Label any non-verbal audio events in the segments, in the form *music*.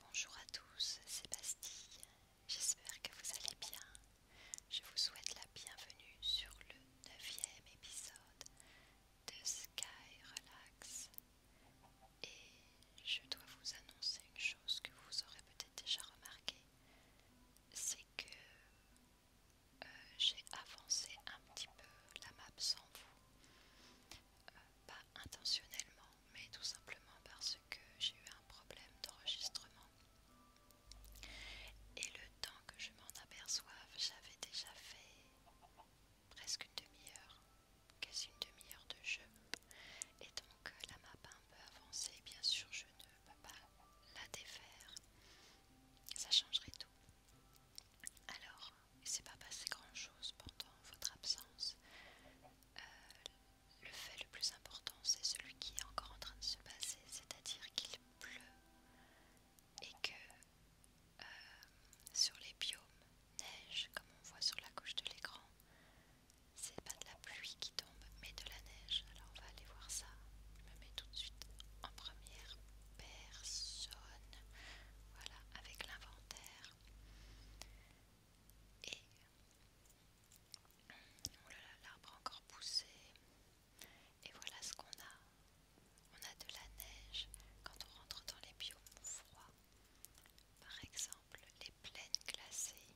Bonjour à tous, c'est Bastille. J'espère que vous allez bien. Je vous souhaite la bienvenue sur le neuvième épisode de Sky Relax. Et je dois vous annoncer une chose que vous aurez peut-être déjà remarqué, c'est que euh, j'ai avancé un petit peu la map sans vous. Euh, pas intentionnellement, mais tout simplement parce que j'ai eu un problème d'enregistrement. Et le temps que je m'en aperçoive, j'avais déjà fait presque une demi-heure, quasi une demi-heure de jeu. Et donc euh, la map un peu avancée bien sûr je ne peux pas la défaire, ça changerait tout. Alors il s'est pas passé grand-chose pendant votre absence. Euh, le fait le plus important, c'est celui qui est encore en train de se passer, c'est-à-dire qu'il pleut et que euh, sur les biomes, neige, comme on voit sur la gauche de l'écran, c'est pas de la pluie qui tombe, mais de la neige. Alors on va aller voir ça. Je me mets tout de suite en première personne. Voilà, avec l'inventaire. Et oh là l'arbre a encore poussé. Et voilà ce qu'on a. On a de la neige quand on rentre dans les biomes froids. Par exemple, les plaines glacées.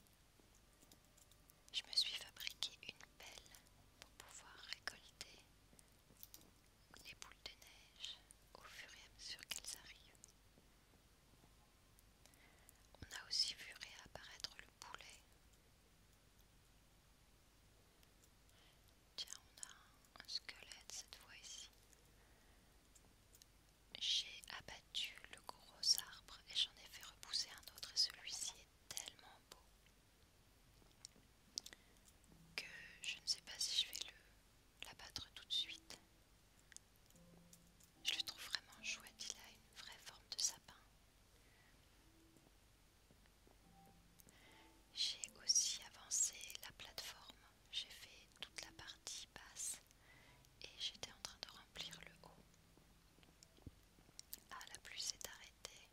Je me suis fabriqué une pelle pour pouvoir récolter les boules de neige au fur et à mesure qu'elles arrivent. On a aussi vu réapparaître le poulet. Tiens, on a un, squelette cette fois ici. J'ai abattu le gros arbre et j'en ai fait repousser un autre et celui-ci est tellement beau que je ne sais pas si je vais le l'abattre tout de suite. Je le trouve vraiment chouette, il a une vraie forme de sapin. J'ai aussi avancé la plateforme, j'ai fait toute la partie basse et j'étais en train de remplir le haut. Ah, la pluie s'est arrêtée.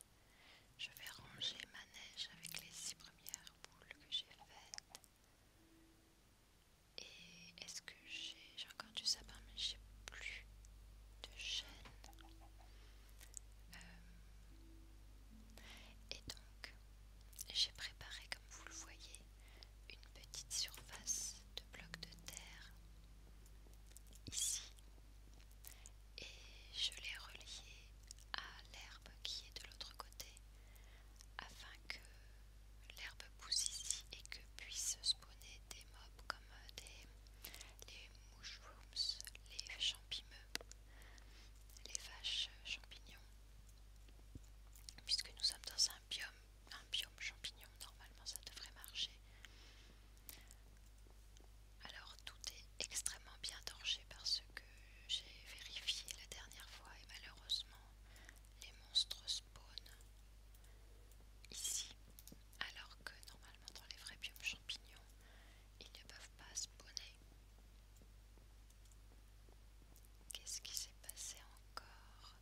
Je vais ranger ma neige avec les six premières boules que j'ai faites. Et est-ce que j'ai encore du sapin, mais j'ai plus de chêne. Euh, et donc, j'ai préparé, comme vous le voyez, une petite surface de blocs de terre ici et je l'ai relié à l'herbe qui est de l'autre côté afin que l'herbe pousse ici et que puissent spawner des mobs comme euh, des, les mushrooms, les champimeux, les vaches champignons. Puisque nous sommes dans un biome, un biome champignon, normalement ça devrait marcher. Alors tout est extrêmement bien torché parce que j'ai vérifié la dernière fois et malheureusement les monstres spawnent ici alors que normalement dans les vrais biomes champignons ils ne peuvent pas spawner. Qu'est-ce qui s'est passé encore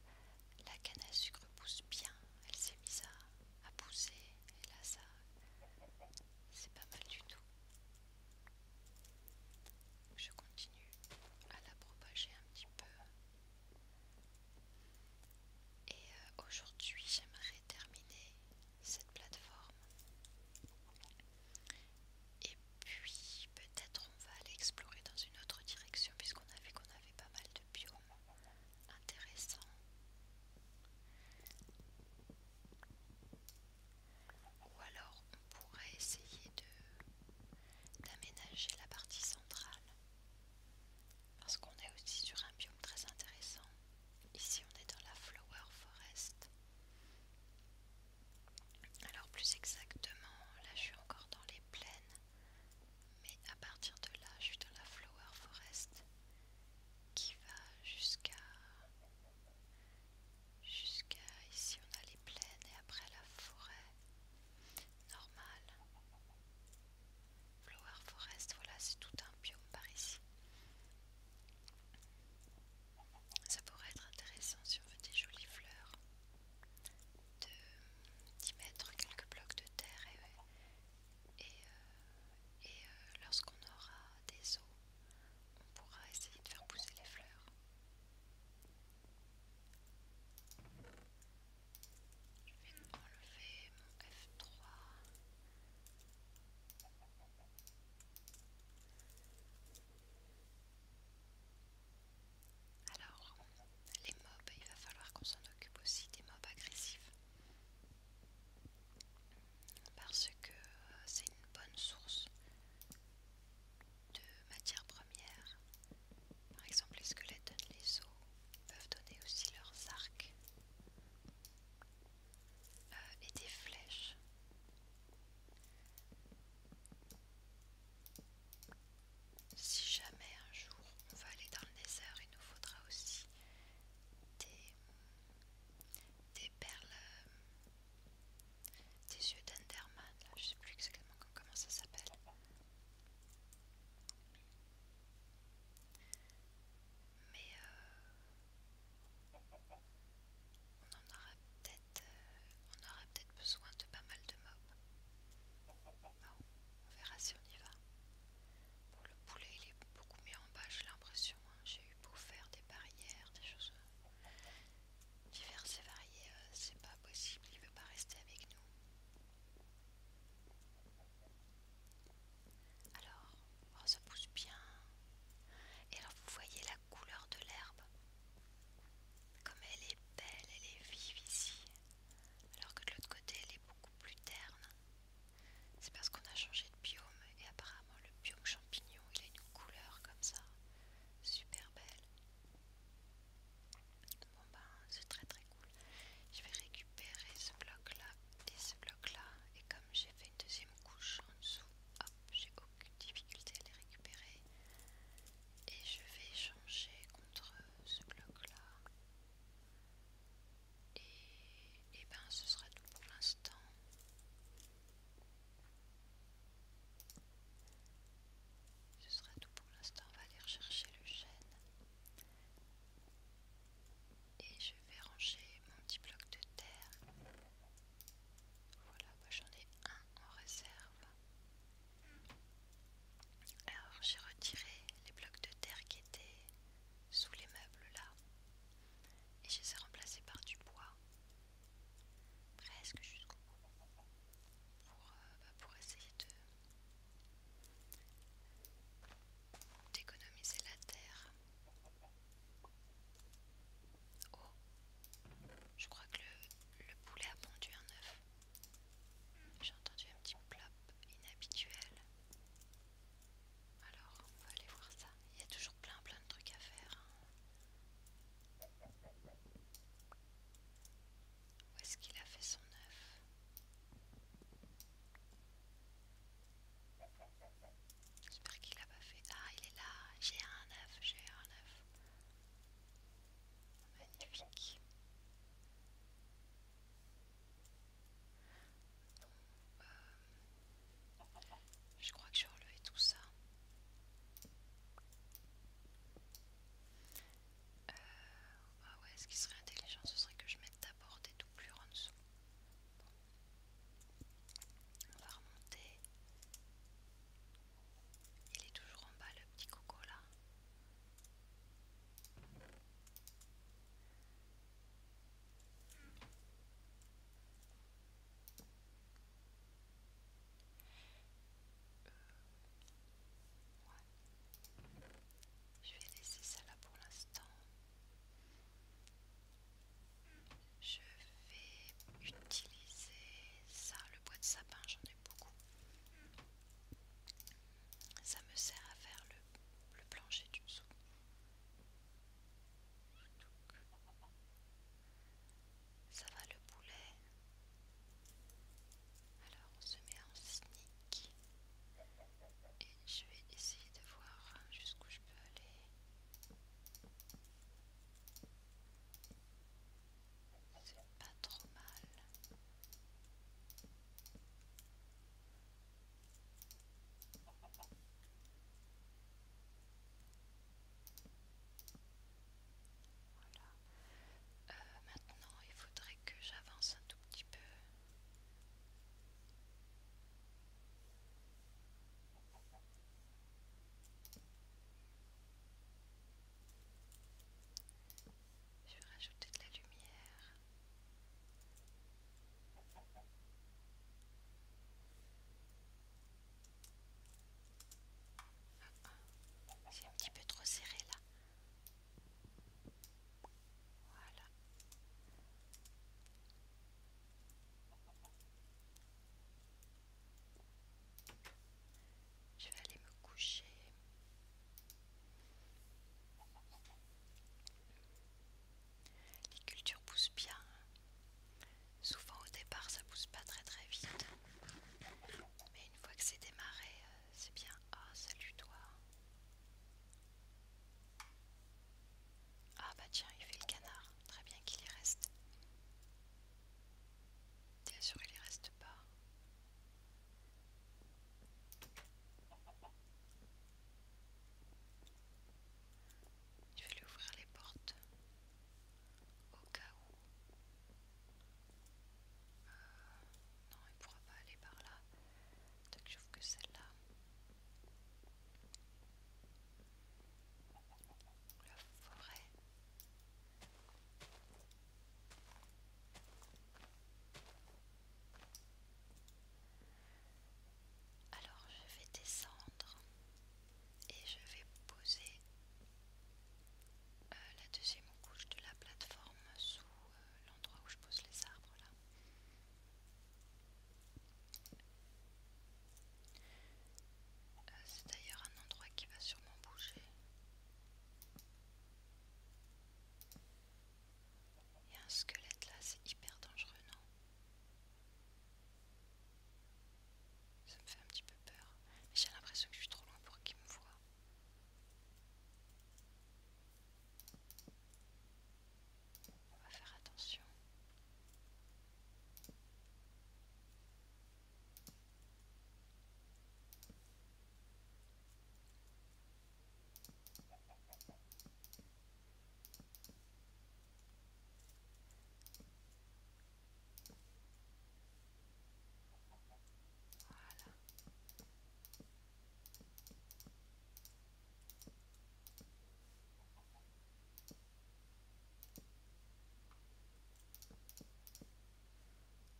La canne à sucre pousse bien, elle s'est mise à pousser et là ça c'est pas mal du tout. Je continue à la propager un petit peu. Et euh, aujourd'hui, j'aimerais terminer cette plateforme. Et puis, peut-être on va aller explorer dans une autre direction, puisqu'on a vu qu'on avait pas mal de biomes intéressants. Ou alors on pourrait essayer d'aménager la partie centrale. Parce qu'on est aussi sur un biome très intéressant. Ici on est dans la Flower Forest. Alors plus exactement, là je suis encore dans les plaines. Mais à partir de là, je suis dans la Flower Forest qui va jusqu'à Jusqu'à ici, on a les plaines et après la forêt normale. Flower Forest, voilà, c'est tout un biome par ici. Ça pourrait être intéressant si on veut des jolies fleurs d'y mettre quelques blocs de terre et, euh, euh, lorsqu'on aura des eaux on pourra essayer de faire pousser les fleurs. Je vais enlever mon F3. Alors, les mobs, il va falloir qu'on s'en occupe aussi des mobs agressifs. Parce que euh, c'est une bonne source de matières premières. Par exemple, les squelettes les os, peuvent donner aussi leurs arcs euh, et des flèches. Si jamais un jour on va aller dans le désert, il nous faudra aussi des, des perles euh, des yeux d'Enderman, je sais plus exactement comment ça s'appelle. Mais euh, on en aura peut-être euh, on aura peut-être besoin de pas mal de mobs. on verra si on y va. Pour le poulet, il est beaucoup mieux en bas, j'ai l'impression. Hein. J'ai eu beau faire des barrières, des choses. Divers et variés, euh, c'est pas possible, il veut pas rester avec nous. Alors, ça pousse bien. Et alors vous voyez la couleur de l'herbe. Comme elle est belle, elle est vive ici. Alors que de l'autre côté, elle est beaucoup plus terne. C'est parce qu'on a changé de biome et apparemment le biome champignon, il a une couleur comme ça super belle. Bon ben c'est très très cool. Je vais récupérer ce bloc là et ce bloc là et comme j'ai fait une deuxième couche en dessous, hop, j'ai aucune difficulté à les récupérer. Et je vais changer contre ce bloc là. Et, et ben ce sera tout pour l'instant. Ce sera tout pour l'instant. On va aller rechercher le chêne. Et je vais ranger mon petit bloc de terre. Voilà, j'en ai un en réserve. Alors j'ai retiré les blocs de terre qui étaient sous les meubles là. Et je les ai remplacés par du bois presque jusqu'au bout euh, bah, pour, essayer de d'économiser la terre. Oh, je crois que le, poulet a pondu un œuf. J'ai entendu un petit plop inhabituel. Alors, on va aller voir ça. Il y a toujours plein plein de trucs à faire. Hein. Où est-ce qu'il a fait son œuf J'espère qu'il l'a pas fait. Ah, il est là. J'ai un œuf, j'ai un œuf. Magnifique. Donc... euh, je crois que j'ai relevé tout ça. Euh, bah ce qui serait intelligent, ce serait que je mette d'abord des doublures en dessous. On va remonter. Il est toujours en bas le petit coco là. Euh, Je vais laisser ça là pour l'instant. Je vais utiliser ça, le bois de sapin, j'en ai beaucoup. Ça me sert à faire le, plancher du dessous. Ça va le poulet Alors on se met en sneak et je vais essayer de voir jusqu'où je peux aller. C'est pas trop mal. Voilà. Euh, maintenant, il faudrait que j'avance un tout petit peu. Je vais rajouter de la lumière. C'est un petit peu trop serré là. Voilà. Je vais aller me coucher. Les cultures poussent bien. Hein. Souvent au départ ça pousse pas très très vite, mais une fois que c'est démarré, euh, c'est bien. Ah salut toi. Ah bah tiens il fait le canard, très bien qu'il y reste. Bien sûr il y reste pas. Je vais lui ouvrir les portes au cas où. Euh, non, il pourra pas aller par là. je trouve que celle-là. Le forêt. Alors je vais descendre et je vais poser euh, la deuxième couche de la plateforme sous euh, l'endroit où je pose les arbres là. Euh, c'est d'ailleurs un endroit qui va sûrement bouger. Il y a un squelette là, c'est hyper dangereux, non ça me fait un petit peu peur. j'ai l'impression que je suis trop loin pour qu'il me voie. On va faire attention.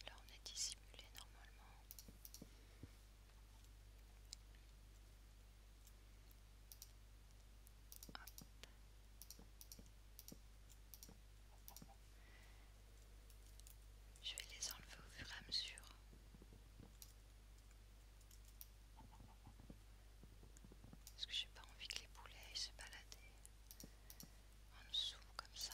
Là, on est dissimulé normalement. Je vais les enlever au fur et à mesure. Parce que j'ai pas envie que les poulets se balader en dessous comme ça.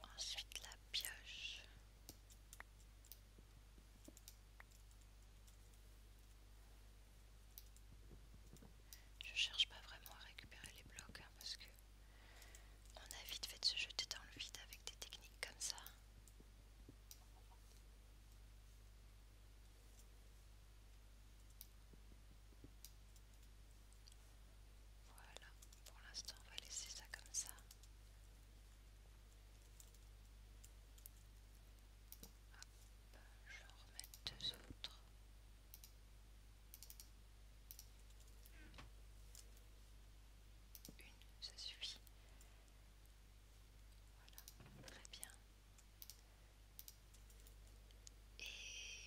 Voilà. Ensuite la pioche. Je cherche pas vraiment à récupérer les blocs hein, parce que on a vite fait de se jeter dans le vide avec des techniques comme ça. Voilà, pour l'instant on va laisser ça comme ça. Hop, je vais en remettre deux autres. Une, ça suffit. Voilà, très bien. Et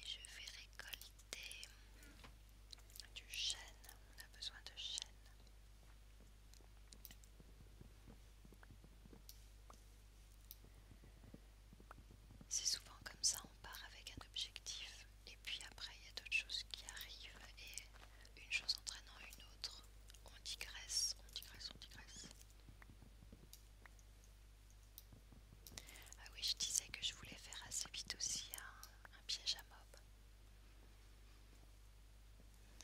je vais récolter du chêne. On a besoin de chêne. C'est souvent comme ça, on part avec un objectif et puis après il y a d'autres choses qui arrivent et une chose entraînant une autre, on digresse, on digresse, on digresse. Ah oui, je disais que je voulais faire assez vite aussi un, piège à mob.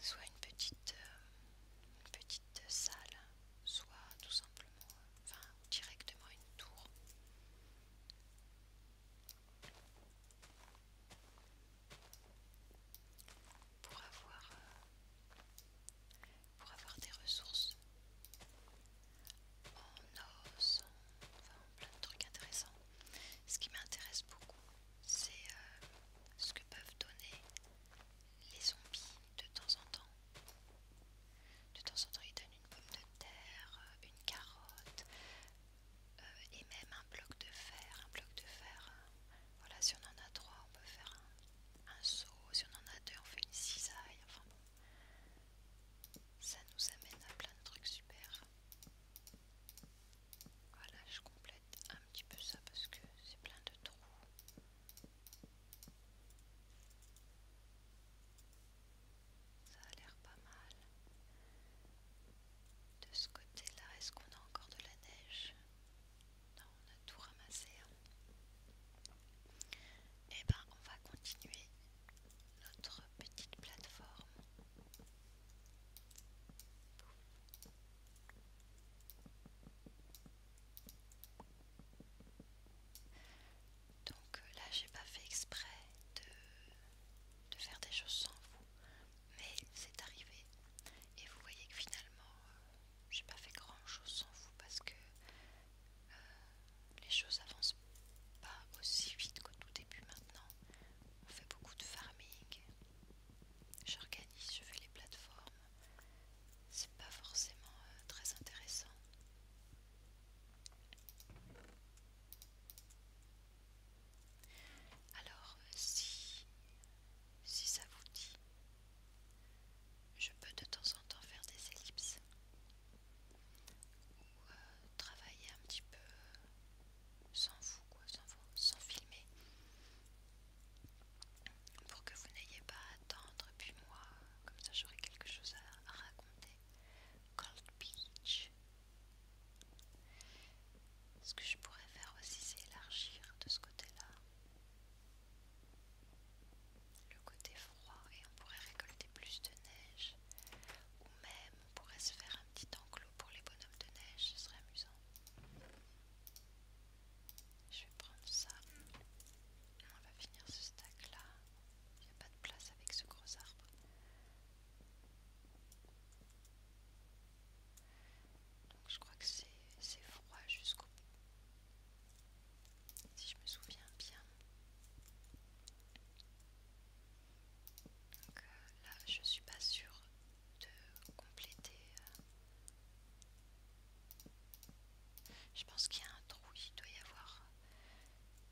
Soit une petite, euh, une petite salle, soit tout simplement euh, enfin directement une tour. Pour avoir, euh, pour avoir des ressources en os, enfin, plein de trucs intéressants. Ce qui m'intéresse beaucoup, c'est euh, ce que peuvent donner les zombies de temps en temps. De temps en temps, ils donnent une pomme de terre, euh, une carotte euh, et même un bloc de fer. Un bloc de fer, euh, voilà, si on en a trois, on peut faire un, un seau. Si on en a deux, on fait une cisaille. Enfin bon, ça nous amène à plein de trucs super. Voilà, je complète un petit peu ça parce que c'est plein de trous. Ça a l'air pas mal. De ce côté-là, est-ce qu'on a encore de la neige Non, on a tout ramassé. Et hein. eh ben, on va continuer notre petite plateforme. Donc euh, là, j'ai pas fait exprès de, faire des choses sans vous, mais c'est arrivé. Et vous voyez que finalement, euh, j'ai pas fait grand chose sans vous parce que euh, les choses avancent pas aussi vite qu'au tout début maintenant. On fait beaucoup de farming, j'organise, je fais les plateformes, c'est pas forcément euh, très intéressant. Alors, euh, si, si ça vous dit, je peux de temps en temps faire des ellipses ou euh, travailler un petit peu sans vous, quoi, sans, vous, sans filmer pour que vous n'ayez pas à attendre, puis moi, comme ça j'aurai quelque chose à, raconter. Cold Beach. Ce que je pourrais faire aussi, c'est élargir de ce côté-là le côté froid et on pourrait récolter plus de neige. Ou même on pourrait se faire un petit enclos pour les bonhommes de neige, ce serait amusant. Je vais prendre ça. On va finir ce stack là. Il n'y a pas de place avec ce gros arbre. Donc je crois que c'est froid jusqu'au bout. Si je me souviens bien. Donc euh, là je suis pas sûre de compléter euh, je pense qu'il y a un trou, il doit y avoir euh,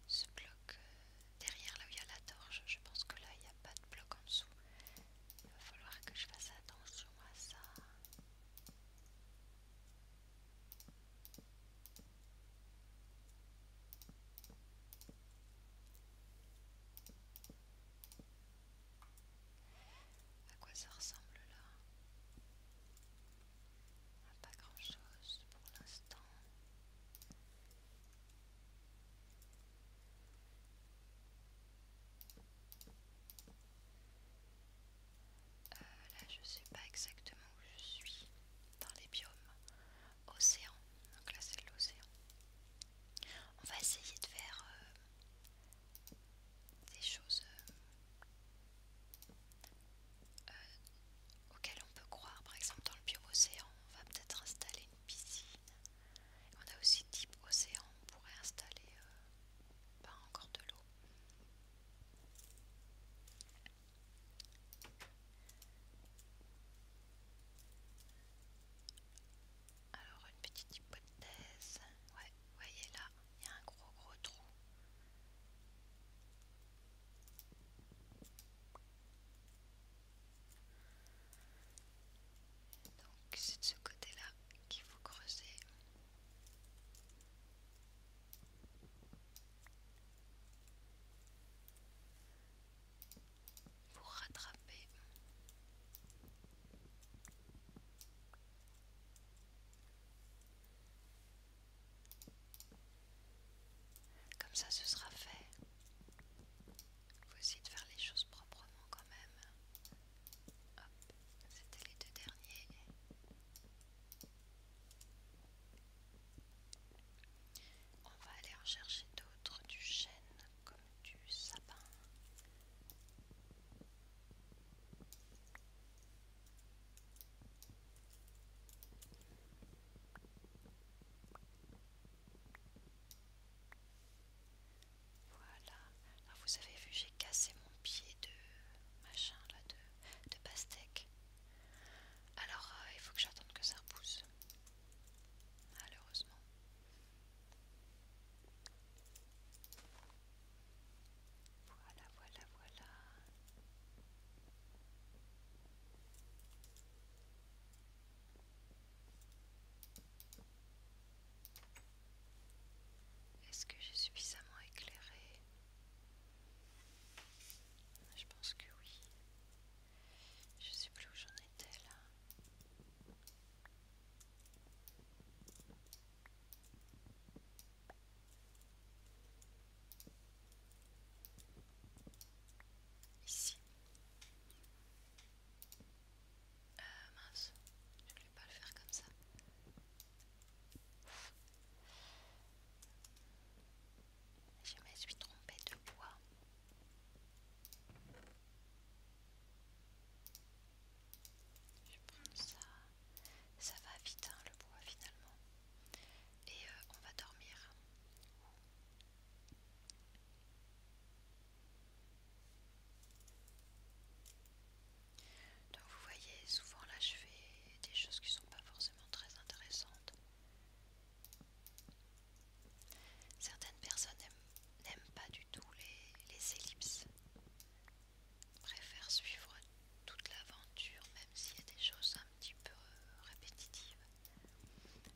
ce bloc euh, derrière là où il y a la torche. Je pense que là il n'y a pas de bloc en dessous. Il va falloir que je fasse attention à ça. À quoi ça ressemble là pas grand chose pour l'instant. Euh, là, je sais pas exactement où je suis dans les biomes. Océan, donc là c'est l'océan. On va essayer de faire euh, des choses euh, euh, auxquelles on peut croire. Par exemple, dans le bio-océan, on va peut-être installer une piscine. on a aussi type océan, on pourrait installer euh, pas encore de l'eau. Alors une petite hypothèse, ouais, voyez là, il y a un gros gros trou. Donc c'est de ce côté-là qu'il faut creuser. Pour rattraper. Comme ça ce sera fait. Faut essayer de faire les choses proprement quand même. Hop, c'était les deux derniers. On va aller chercher d'autres du chêne comme du sapin. Voilà. vous avez vu, j'ai cassé mon pied de machin là, de, pastèque. Alors euh, il faut que j'attende que ça repousse Malheureusement. Voilà, voilà, voilà. Est-ce que j'ai suffisamment éclairé Je pense que oui. Je sais plus où j'en étais là. Ici. Euh, mince, je vais pas le faire comme ça. Je me suis trompée de bois. Je prends ça ça va vite hein, le bois finalement. Et euh, on va dormir. Donc vous voyez, souvent là je fais des choses qui sont pas forcément très intéressantes. Certaines personnes n'aiment pas du tout les ellipses préfère suivre toute l'aventure même s'il y a des choses un petit peu euh, répétitives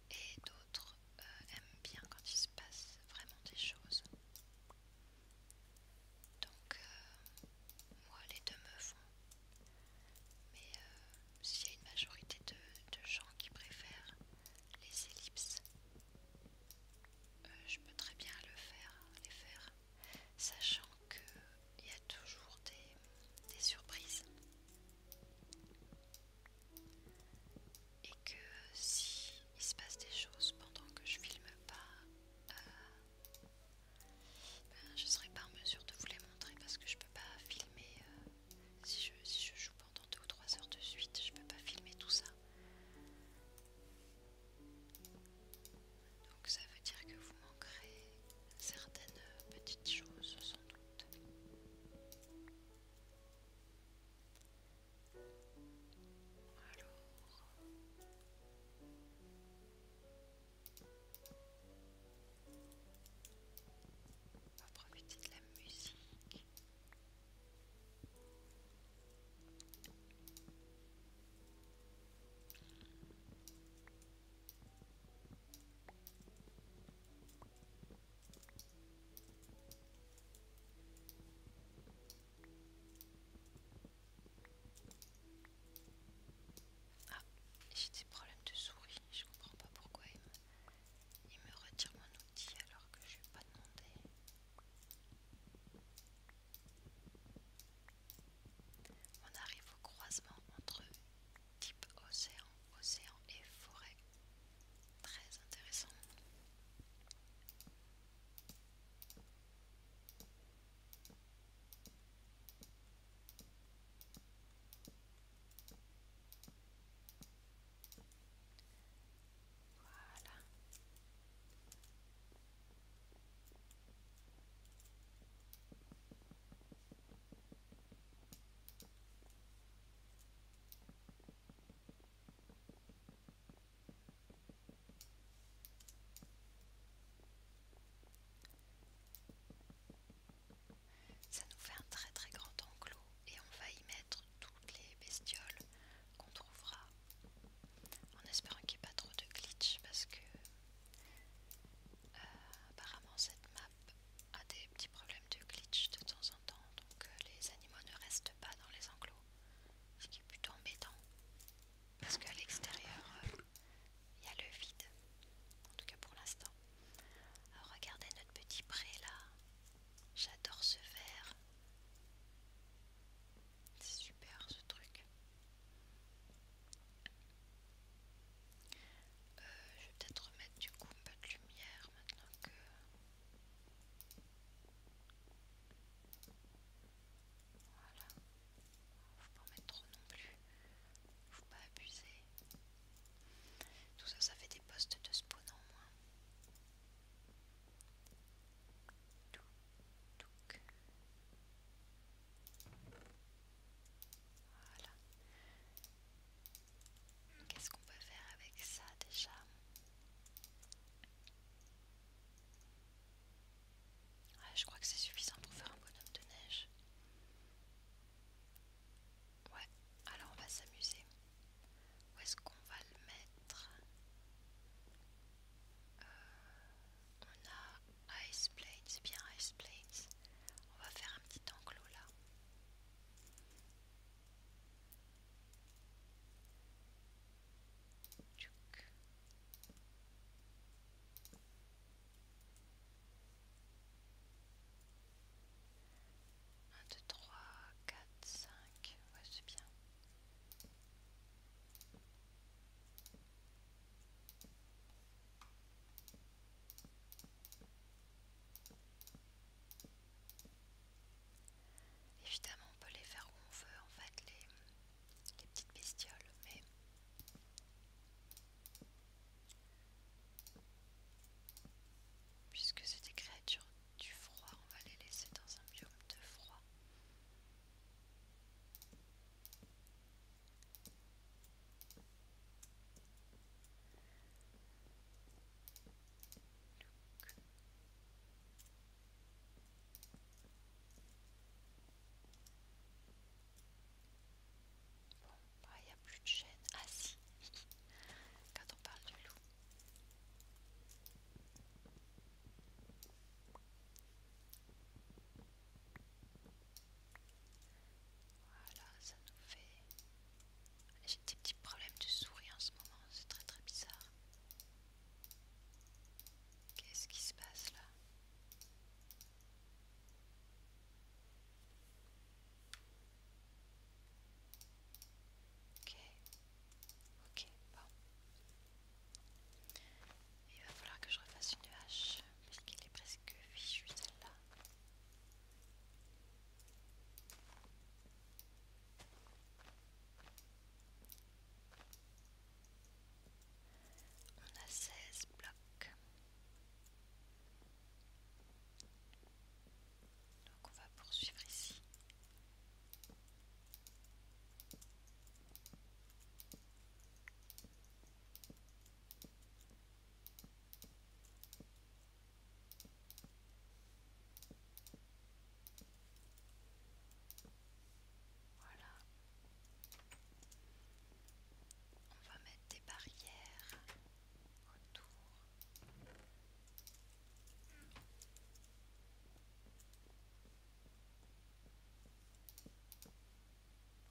et d'autres euh, aiment bien quand il se passe vraiment des choses donc euh, moi les deux me font mais s'il y a une majorité de, gens qui préfèrent les ellipses je peux très bien le faire, les faire sachant qu'il y a toujours des, surprises et que si il se passe des choses pendant que je filme pas, euh, ben je serai pas en mesure de vous les montrer parce que je peux pas filmer euh, si, je, joue pendant deux ou trois heures de suite, je peux pas filmer tout ça. Donc ça veut dire que vous manquerez certaines petites choses sans doute. Alors... On va de la musique. Ah, j'ai des problèmes de souris, je comprends pas pourquoi il me, retire mon outil alors que je vais pas demandé on arrive au croisement entre type océan, océan et forêt. Très intéressant. Voilà. Ça nous fait un très très grand enclos et on va y mettre toutes les bestioles qu'on trouvera en espérant qu'il n'y ait pas trop de glitch parce que euh, apparemment cette map a des petits problèmes de glitch de temps en temps donc euh, les animaux ne restent pas dans les enclos ce qui est plutôt embêtant parce qu'à l'extérieur euh, il y a le vide en tout cas pour l'instant regardez notre petit pré là j'adore ce verre c'est super ce truc. Euh, je vais peut-être remettre du coup un peu de lumière maintenant que... Voilà. Faut pas en mettre trop non plus. Faut pas abuser. Tout ça, ça fait des postes de spawn en moins. Tout, voilà. Qu'est-ce qu'on peut faire avec ça déjà ah, Je crois que c'est suffisant pour faire un bonhomme de neige. Ouais, alors on va s'amuser. Où est-ce qu'on va le mettre euh, on a Iceplate, c'est bien Iceplate. On va faire un petit enclos là. 1, 2, 3, 4, 5. C'est bien. Évidemment, on peut les faire où on veut, en fait, les, petites bestioles, mais puisque c'est des créatures du froid, on va les laisser dans un biome de froid. Ah, il n'y a plus de chaîne. Ah si, *laughs* quand on parle de loup. Voilà, ça nous fait... J'ai des petits problèmes de souris en ce moment, c'est très très bizarre. Qu'est-ce qui se passe là Ok, ok, bon. Il va falloir que je refasse une hache, puisqu'il est presque fichu celle-là. On a 16 blocs. Donc on va poursuivre ici. Voilà. On va mettre des barrières autour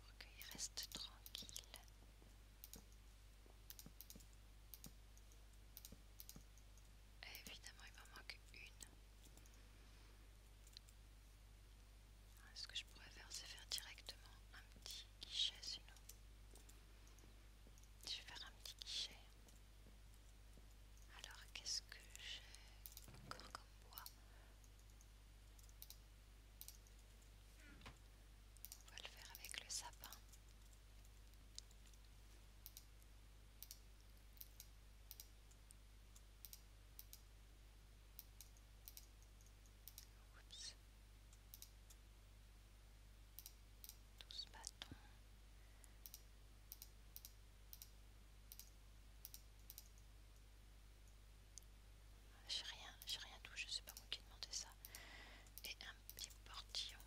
pour qu'il reste tranquille. évidemment, il m'en manque une. Ah, ce que je pourrais faire, c'est faire directement un petit guichet sinon. Je vais faire un petit guichet. Alors qu'est-ce que j'ai encore comme bois On va le faire avec le sapin. 12 bâtons. Ah, j'ai rien, j'ai rien touché, sais pas moi qui ai ça. Et un petit portillon.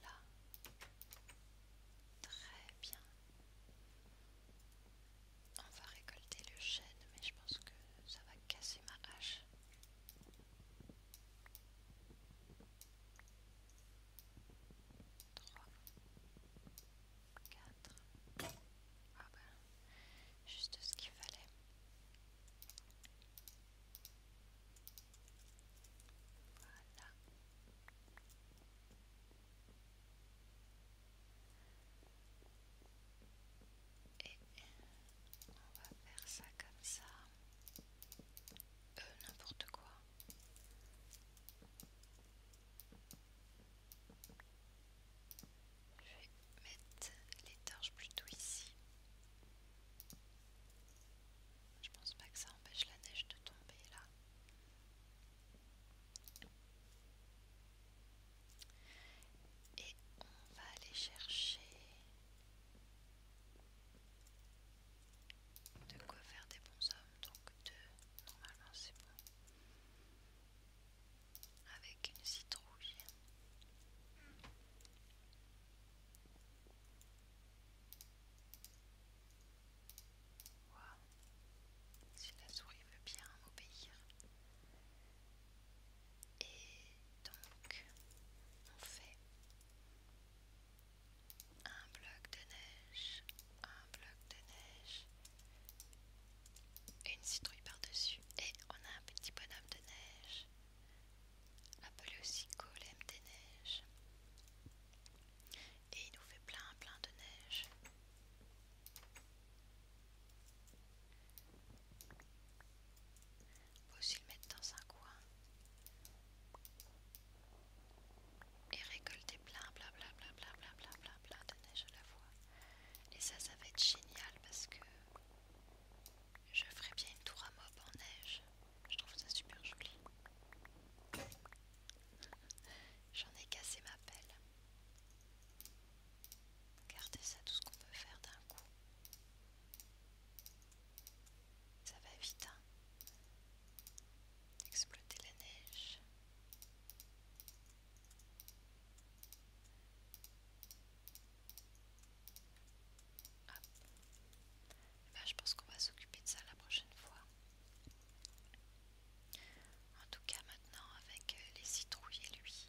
Voilà. Très bien. On va récolter le chêne, mais je pense que ça va casser ma hache. 3, 4, 2, voilà, juste ce qu'il fallait. Voilà. Et on va faire ça comme ça. Euh, n'importe quoi. Je vais mettre les torches plutôt ici. Je pense pas que ça empêche la neige de tomber là. Et on va aller chercher de quoi faire des bons hommes, donc deux, normalement c'est bon, avec une citrouille. Si la souris veut bien m'obéir, et donc, on fait un bloc de neige, un bloc de neige, une citrouille par-dessus, et on a un petit bonhomme de neige, appelé aussi golem des neiges. Et il nous fait plein plein de neige. Faut aussi le mettre dans un coin et récolter plein, plein, plein, plein, plein, de neige à la fois. Et ça, ça va être génial parce que je ferai bien une tour à mob en neige. Je trouve ça super joli. *laughs* J'en ai cassé ma pelle. Regardez ça, tout ce qu'on peut faire d'un coup. Ça va vite, hein Exploiter la neige. Hop. Bah, je pense qu'on va s'occuper de ça la prochaine fois. En tout cas maintenant avec euh, les citrouilles et lui,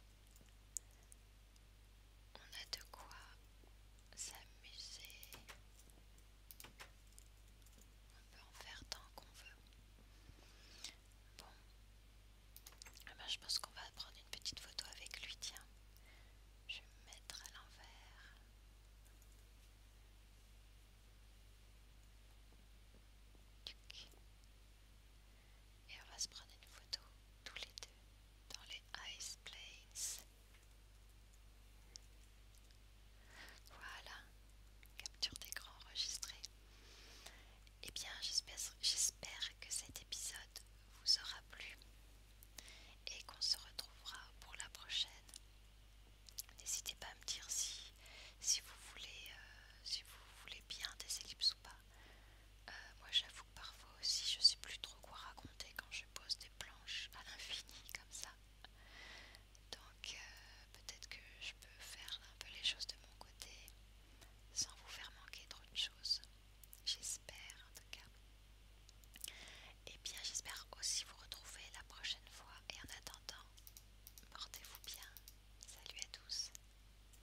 on a de quoi s'amuser. On peut en faire tant qu'on veut. Bon. Eh ben, je pense qu'on va prendre une petite photo avec lui, tiens. Je vais me mettre à l'envers et on va se prendre une photo tous les deux dans les Ice Plains. Voilà, capture d'écran enregistrée. Eh bien, j'espère que cet épisode vous aura plu et qu'on se retrouvera pour la prochaine. N'hésitez pas à me dire si, si, vous voulez, euh, si vous voulez bien des ellipses ou pas. Euh, moi j'avoue que parfois aussi je sais plus trop quoi raconter quand je pose des planches à l'infini comme ça. Donc euh, peut-être que je peux faire un peu les choses de mon côté sans vous faire manquer trop de choses. J'espère en tout cas. Et eh bien j'espère aussi vous retrouver la prochaine fois et en attendant, portez-vous bien. Salut à tous.